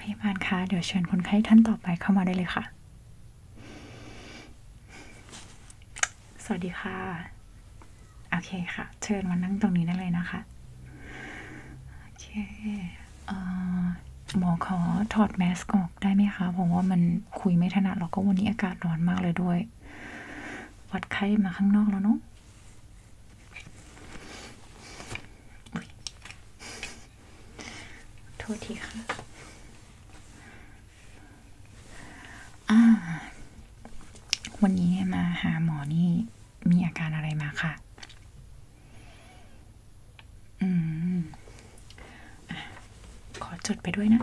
พยาบาลคะเดี๋ยวเชิญคนไข้ท่านต่อไปเข้ามาได้เลยค่ะ สวัสดีค่ะ โอเคค่ะ เชิญมานั่งตรงนี้ได้เลยนะคะ โอเคเอ่อหมอขอถอดแมสก์ออกได้ไหมคะ เพราะว่ามันคุยไม่ถนัด แล้วก็วันนี้อากาศร้อนมากเลยด้วย วัดไข้มาข้างนอกแล้วเนาะโทษทีค่ะอ่าวันนี้มาหาหมอนี่มีอาการอะไรมาค่ะ อืมอขอจดไปด้วยนะ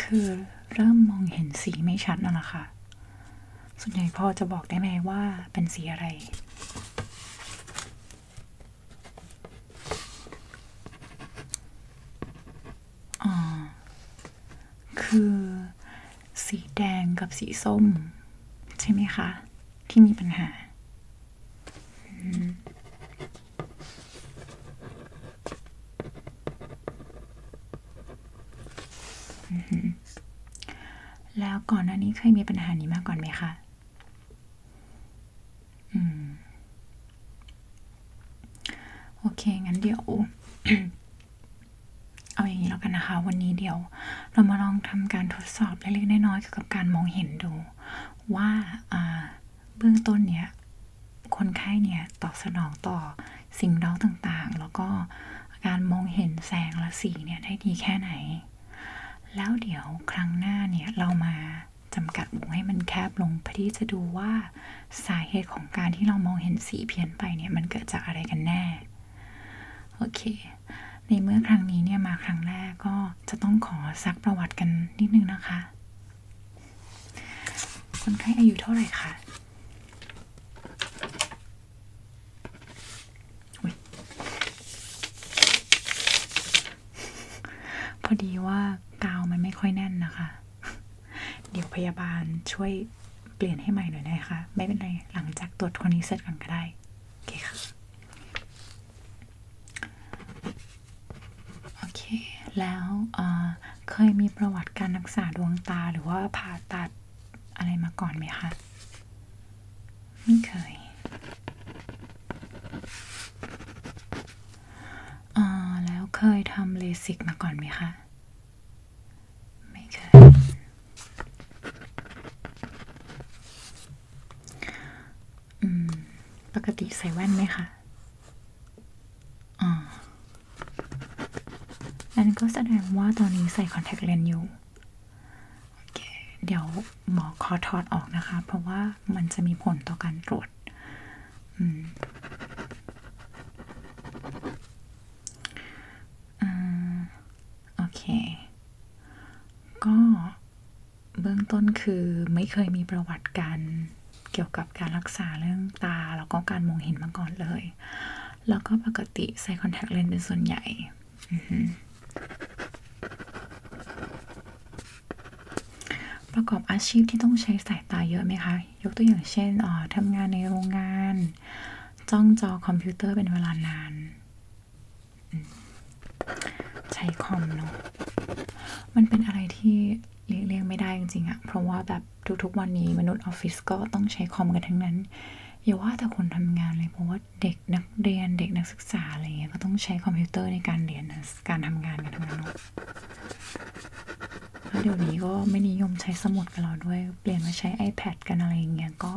คือเริ่มมองเห็นสีไม่ชัดนั่นแหละค่ะส่วนใหญ่พ่อจะบอกได้ไหมว่าเป็นสีอะไร อ๋อ คือสีแดงกับสีส้ม ใช่ไหมคะที่มีปัญหาแล้วก่อนหน้านี้เคยมีปัญหานี้มาก่อนไหมคะ อืม โอเค งั้นเดี๋ยว เอาอย่างนี้แล้วกันนะคะ วันนี้เดี๋ยว เรามาลองทำการทดสอบเล็กๆน้อยๆเกี่ยวกับการมองเห็นดู ว่า่า เบื้องต้นเนี้ยคนไข้เนี่ยตอบสนองต่อสิ่งเร้าต่างๆ แล้วก็การมองเห็นแสงและสีเนี่ยได้ดีแค่ไหน แล้วเดี๋ยวครั้งหน้าเนี่ยเรามาจำกัดวงให้มันแคบลงพอที่จะดูว่าสาเหตุของการที่เรามองเห็นสีเพี้ยนไปเนี่ยมันเกิดจากอะไรกันแน่ โอเค ในเมื่อครั้งนี้เนี่ยมาครั้งแรกก็จะต้องขอซักประวัติกันนิดนึงนะคะคนไข้อายุเท่าไหร่คะพอดีว่ากาวมันไม่ค่อยแน่นนะคะ เดี๋ยวพยาบาลช่วยเปลี่ยนให้ใหม่หน่อยนะคะ ไม่เป็นไรหลังจากตรวจคนนี้เสร็จกันก็ได้ โอเคค่ะโอเคแล้วเคยมีประวัติการรักษาดวงตาหรือว่าผ่าตัดอะไรมาก่อนไหมคะ ไม่เคยอ่าแล้วเคยทำเลสิกมาก่อนไหมคะ ไม่เคยปกติใส่แว่นไหมคะอ๋อนั่นก็แสดงว่าตอนนี้ใส่คอนแทคเลนส์อยู่เเดี๋ยวหมอขอถอดออกนะคะ เพราะว่ามันจะมีผลต่อการตรวจ อืม โอเค ก็เบื้องต้นคือไม่เคยมีประวัติการเกี่ยวกับการรักษาเรื่องตาแล้วก็การมองเห็นมาก่อนเลย แล้วก็ปกติใส่คอนแทคเลนส์เป็นส่วนใหญ่ ประกอบอาชีพที่ต้องใช้สายตาเยอะไหมคะ ยกตัวอย่างเช่นออทำงานในโรงงาน จ้องจอคอมพิวเตอร์เป็นเวลานาน ใช้คอมเนาะมันเป็นอะไรที่เลี่ยงเลียงไม่ได้จริงๆอะเพราะว่าแบบทุก ๆ วันนี้ มนุษย์ออฟฟิศก็ต้องใช้คอมกันทั้งนั้นอย่าว่าแต่คนทำงานเลยเพราะว่า เด็กนักเรียนเด็กนักศึกษาอะไรเงี้ยก็ต้องใช้คอมพิวเตอร์ในการเรียนการทำงานกันทั้งนั้นเนาะแล้วเดี๋ยวนี้ก็ไม่นิยมใช้สมุดกันแล้วด้วย เปลี่ยนมาใช้ iPad กันอะไรเงี้ยก็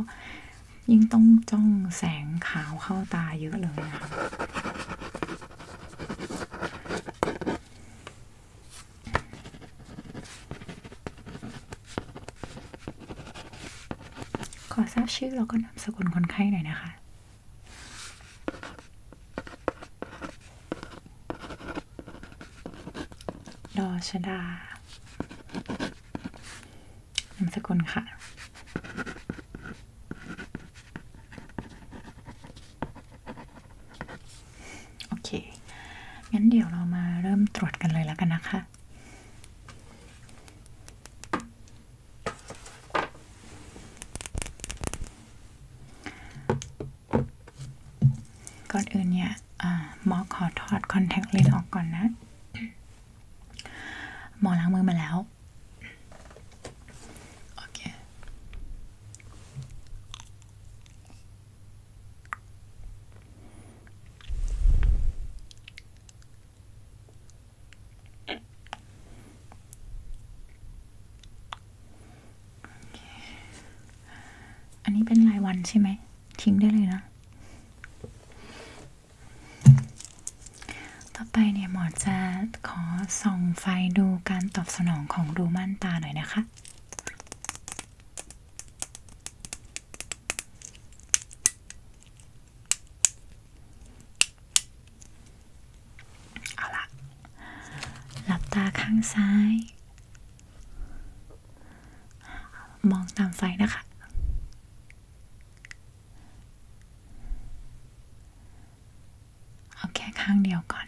ยิ่งต้องจ้องแสงขาวเข้าตาเยอะเลยนะขอทราบชื่อแล้วก็นามสกุลคนไข้หน่อยนะคะดอชดานามสกุลค่ะคโอเค งั้นเดี๋ยวเรามาเริ่มตรวจกันเลยแล้วกันนะคะ ก่อนอื่นเนี่ยหมอขอถอดคอนแทคเลนส์ออกก่อนนะหมอล้างมือมาแล้ว โอเคอันนี้เป็นรายวันใช่ไหม ทิ้งได้เลยนะ ต่อไปเนี่ยหมอจะขอส่องไฟดูการตอบสนองของรูม่านตาหน่อยนะคะเอาละหลับตาข้างซ้าย มองตามไฟนะคะเอาแค่ข้างเดียวก่อน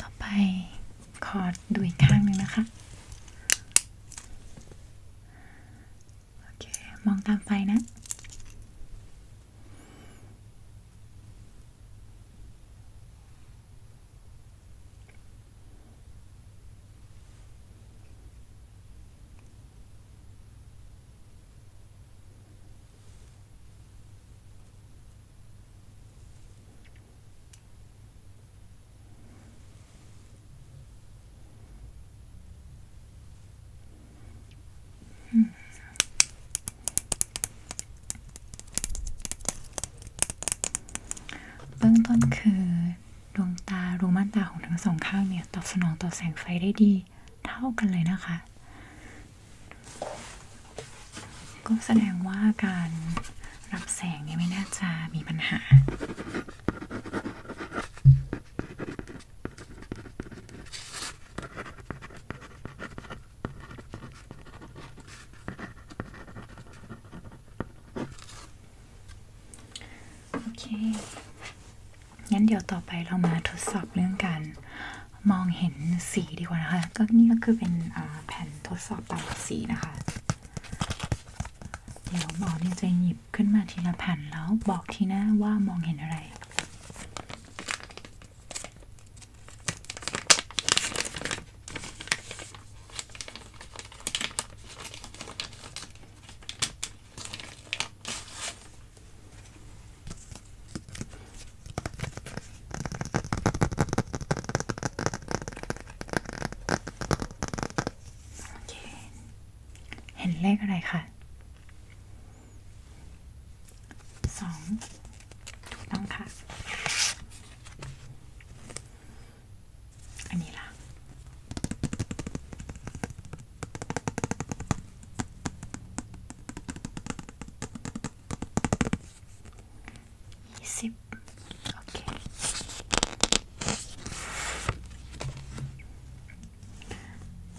ต่อไปขอดูอีกข้างหนึ่งนะคะ โอเค มองตามไฟนะโเบื้องต้นคือดวงตารูม่านตาของทั้งสองข้างเนี่ย ตอบสนองต่อแสงไฟได้ดี เท่ากันเลยนะคะ ก็แสดงว่าการรับแสงเนี่ยไม่น่าจะมีปัญหาโอเค งั้นเดี๋ยวต่อไปเรามาทดสอบเรื่องการมองเห็นสีดีกว่านะคะ ก็นี่ก็คือเป็นแผ่นทดสอบตาสีนะคะ เดี๋ยวหมอเนี่จะหยิบขึ้นมาทีละแผ่นแล้วบอกทีหน้าว่ามองเห็นอะไรโอเค เห็นเลขอะไรคะสองถูกต้องค่ะ อันนี้ล่ะยี่สิบโอเค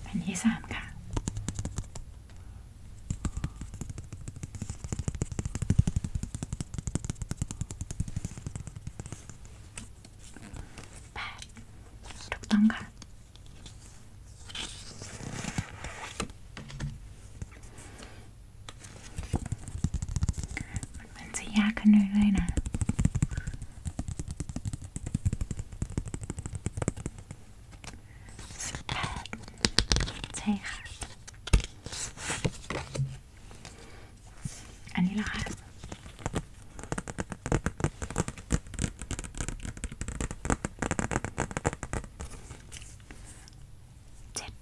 อันที่สามค่ะ8ถูกต้องค่ะมันมันจะยากขึ้นเรื่อยๆนะสิบแปดใช่ค่ะอันนี้เหรอคะเจ็ด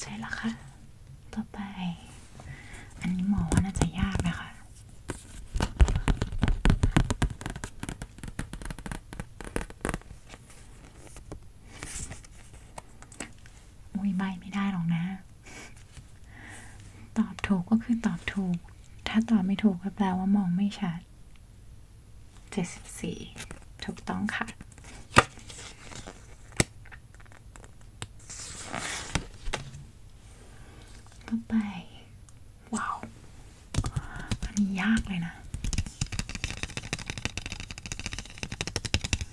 ใช่แล้วค่ะต่อไป อันนี้หมอว่าน่าจะยากนะคะอุ้ยใบไม่ได้หรอกนะตอบถูกก็คือตอบถูก ถ้าตอบไม่ถูกก็แปลว่ามองไม่ชัด เจ็ดสสิบี่ถูกต้องค่ะ ต่อไปว้าวอันนี้ยากเลยนะ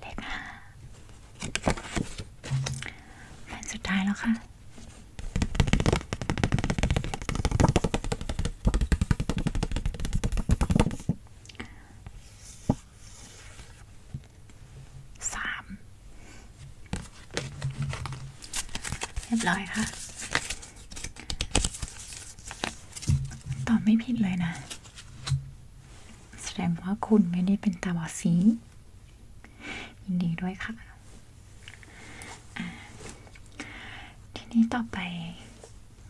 เลขห้าแผ่นสุดท้ายแล้วค่ะสามเรียบร้อยค่ะ ตอบไม่ผิดเลยนะ แสดงว่าคุณไม่ได้เป็นตาบอดสี ยินดีด้วยค่ะ ทีนี้ต่อไป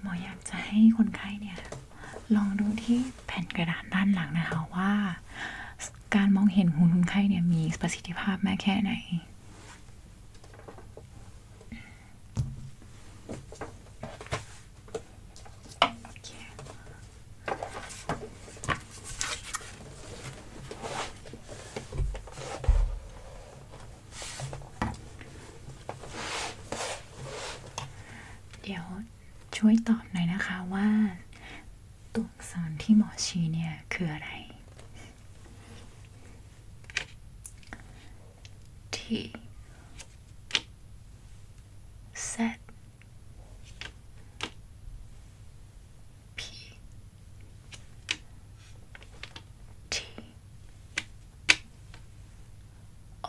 หมออยากจะให้คนไข้เนี่ย ลองดูที่แผ่นกระดาษด้านหลังนะคะว่าการมองเห็นหุอนคนไข้เนี่ย มีประสิทธิภาพมากแค่ไหน เดี๋ยวช่วยตอบหน่อยนะคะว่าตัวอักษรที่หมอชี้เนี่ย คืออะไรที่ T Z P T O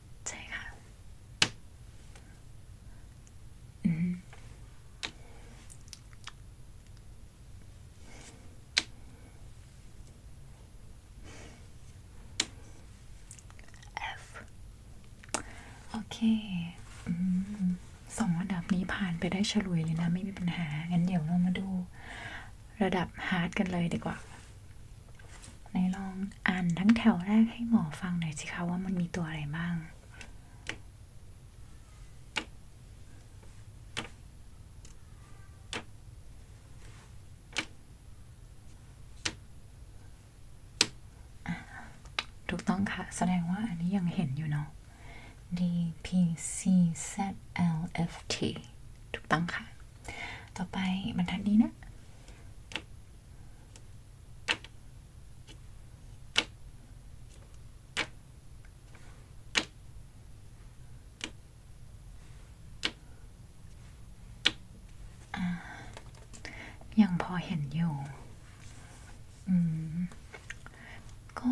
ใช่ค่ะอืมโอเค อืมสองระดับนี้ผ่านไปได้ฉลุยเลยนะ ไม่มีปัญหา งั้นเดี๋ยวเรามาดู ระดับฮาร์ดกันเลยดีกว่าไหนลองอ่านทั้งแถวแรกให้หมอฟังหน่อยสิคะว่ามันมีตัวอะไรบ้าง ถูกต้องค่ะ แสดงว่าอันนี้ยังเห็นอยู่เนาะ D P C Z L F T ถูกต้องค่ะต่อไปบรรทัดนี้นะ ยังพอเห็นอยู่ ก็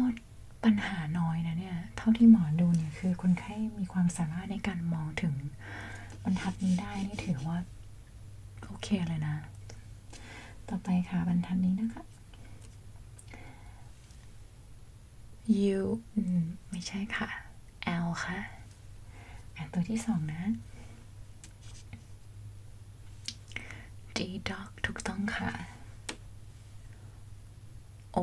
ปัญหาน้อยนะเนี่ย เท่าที่หมอดูเนี่ย คือคนไข้มีความสามารถในการมองถึงบรรทัดนี้ได้ นี่ถือว่า โอเคเลยนะ ต่อไปค่ะบรรทัดนี้นะคะ U ไม่ใช่ค่ะ L ค่ะอ่นตัวที่สองนะ D dog ถูกต้องค่ะ O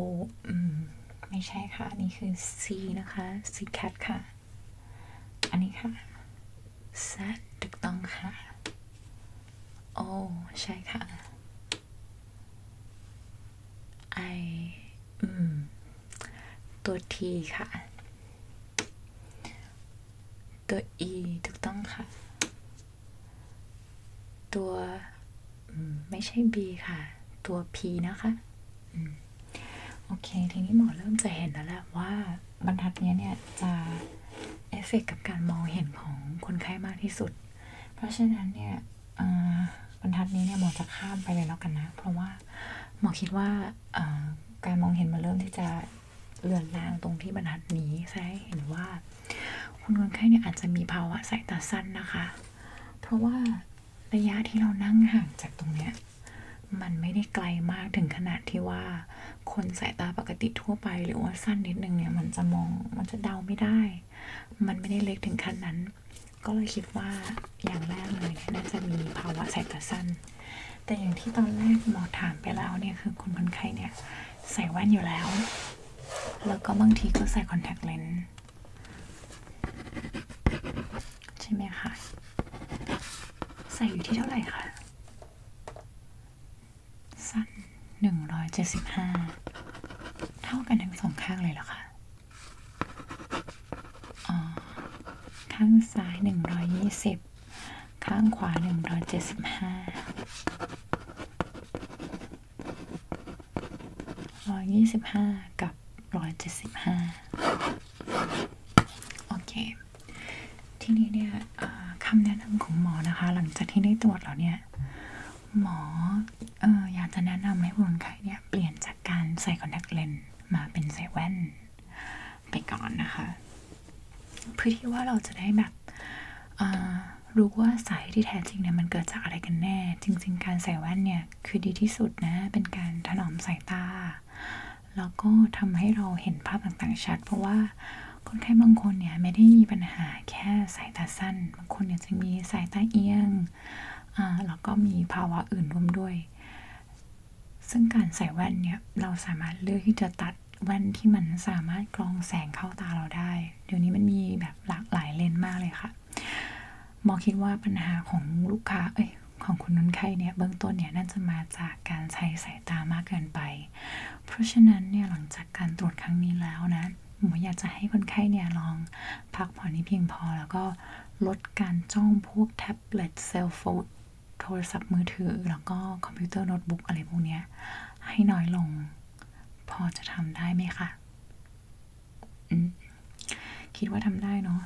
ไม่ใช่ค่ะนี่คือ C นะคะ C cat ค่ะ อันนี้ค่ะ Z ถูกต้องค่ะโอ้ใช่ค่ะ I ตัว T ค่ะ ตัว E ถูกต้องค่ะ ตัวไม่ใช่ B ค่ะตัว P นะคะโอเคทีนี้หมอเริ่มจะเห็นแล้วแหละว่าบรรทัดนี้เนี่ยจะเอฟเฟกกับการมองเห็นของคนไข้มากที่สุด เพราะฉะนั้นเนี่ยบรรทัดนี้เนี่ยหมอจะข้ามไปเลยแล้วกันนะเพราะว่าหมอคิดว่าการมองเห็นมาเริ่มที่จะเลือนลางตรงที่บรรทัดนี้ใช่เห็นว่าคนคนไข้เนี่ยอาจจะมีภาวะสายตาสั้นนะคะ เพราะว่าระยะที่เรานั่งห่างจากตรงเนี้ยมันไม่ได้ไกลมากถึงขนาดที่ว่า คนสายตาปกติทั่วไปหรือว่าสั้นนิดนึงเนี่ย มันจะมองมันจะเดาไม่ได้ มันไม่ได้เล็กถึงขั้นนั้น ก็เลยคิดว่าอย่างแรกเลยน่าจะมีภาวะสายตาสั้น แต่อย่างที่ตอนแรกหมอถามไปแล้วเนี่ย คือคนคนไข้เนี่ยใส่แว่นอยู่แล้ว แล้วก็บางทีก็ใส่คอนแทคเลนส์ใช่ไหมคะใส่อยู่ที่เท่าไหร่คะสั้นหนึ่งร้อยเจ็ดสิบห้าเท่ากันทั้งสองข้างเลยเหรอคะ อ๋อ ข้างซ้ายหนึ่งร้อยยี่สิบข้างขวาหนึ่งร้อยเจ็ดสิบห้าร้อยยี่สิบห้ากับร้อยเจ็ดสิบห้าโอเคทีนี้เนี่ยคำแนะนำของหมอนะคะหลังจากที่ได้ตรวจแล้วเนี่ยหมอออยากจะแนะนำให้คนไข้เนี่ยเปลี่ยนจากการใส่คอนแทคเลนส์มาเป็นใส่แว่นไปก่อนนะคะเพื่อที่ว่าเราจะได้แบบรู้ว่าสายที่แท้จริงเนี่ยมันเกิดจากอะไรกันแน่ จริงๆการใส่แว่นเนี่ยคือดีที่สุดนะ เป็นการถนอมสายตา แล้วก็ทำให้เราเห็นภาพต่างๆชัด เพราะว่าคนไข้บางคนเนี่ยไม่ได้มีปัญหาแค่สายตาสั้น บางคนเนี่ยจะมีสายตาเอียงแล้วก็มีภาวะอื่นร่วมด้วย ซึ่งการใส่แว่นเนี่ยเราสามารถเลือกที่จะตัดแว่นที่มันสามารถกรองแสงเข้าตาเราได้ เดี๋ยวนี้มันมีแบบหลากหลายเลนมากเลยค่ะ หมอคิดว่าปัญหาของลูกค้าเอ้ยของคุณนุ้นไข้เนี่ยเบื้องต้นเนี่ยน่าจะมาจากการใช้สายตามากเกินไป เพราะฉะนั้นเนี่ยหลังจากการตรวจครั้งนี้แล้วนะ หมออยากจะให้คนไข้เนี่ยลองพักผ่อนนี้เพียงพอแล้วก็ลดการจ้องพวกแท็บเล็ตเซลโฟนโทรศัพท์มือถือ แล้วก็คอมพิวเตอร์โน้ตบุ๊กอะไรพวกเนี้ย ให้น้อยลงพอจะทำได้ไหมคะคิดว่าทำได้เนาะ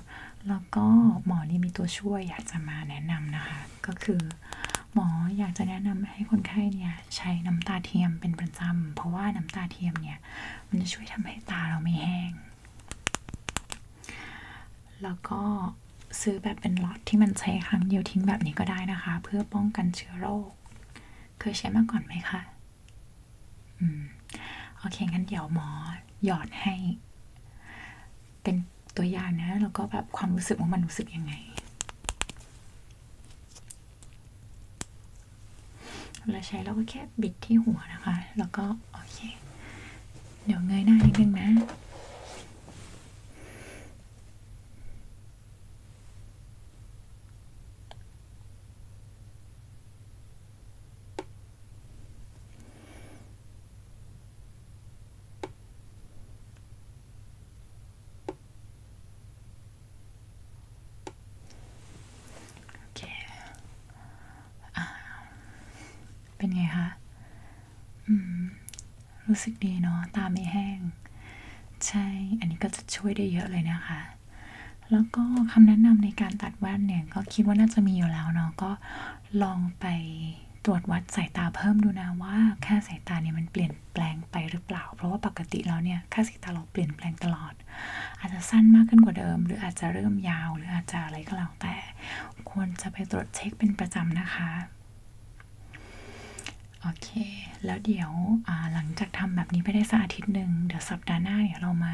แล้วก็หมอนี่มีตัวช่วยอยากจะมาแนะนำนะคะ ก็คือหมออยากจะแนะนำให้คนไข้เนี่ยใช้น้ำตาเทียมเป็นประจำเพราะว่าน้ำตาเทียมเนี่ย มันจะช่วยทำให้ตาเราไม่แห้ง แล้วก็ซื้อแบบเป็นลอตที่มันใช้ครั้งเดียวทิ้งแบบนี้ก็ได้นะคะ เพื่อป้องกันเชื้อโรคเคยใช้มาก่อนไหมคะโอเคงั้นเดี๋ยวหมอหยอดให้ เป็นตัวอย่างนะ แล้วก็แบบความรู้สึกว่ามันรู้สึกยังไง เราใช้เราก็แค่บิดที่หัวนะคะ แล้วก็โอเค เดี๋ยวเงยหน้านิดนึงนะโอเค เป็นไงคะ อืม รู้สึกดีเนาะ ตาไม่แห้ง ใช่ อันนี้ก็จะช่วยได้เยอะเลยนะคะ แล้วก็คำแนะนำในการตัดแว่นเนี่ย ก็คิดว่าน่าจะมีอยู่แล้วเนาะ ก็ลองไปตรวจวัดสายตาเพิ่มดูนะว่าค่าสายตาเนี่ยมันเปลี่ยนแปลงไปหรือเปล่า เพราะว่าปกติแล้วเนี่ยค่าสายตาเราเปลี่ยนแปลงตลอด อาจจะสั้นมากขึ้นกว่าเดิม หรืออาจจะเริ่มยาวหรืออาจจะอะไรก็แล้วแต่ควรจะไปตรวจเช็คเป็นประจำนะคะ โอเค แล้วเดี๋ยวหลังจากทำแบบนี้ไปได้สักอาทิตย์หนึ่งเดี๋ยวสัปดาห์หน้าเดี๋ยวเรามา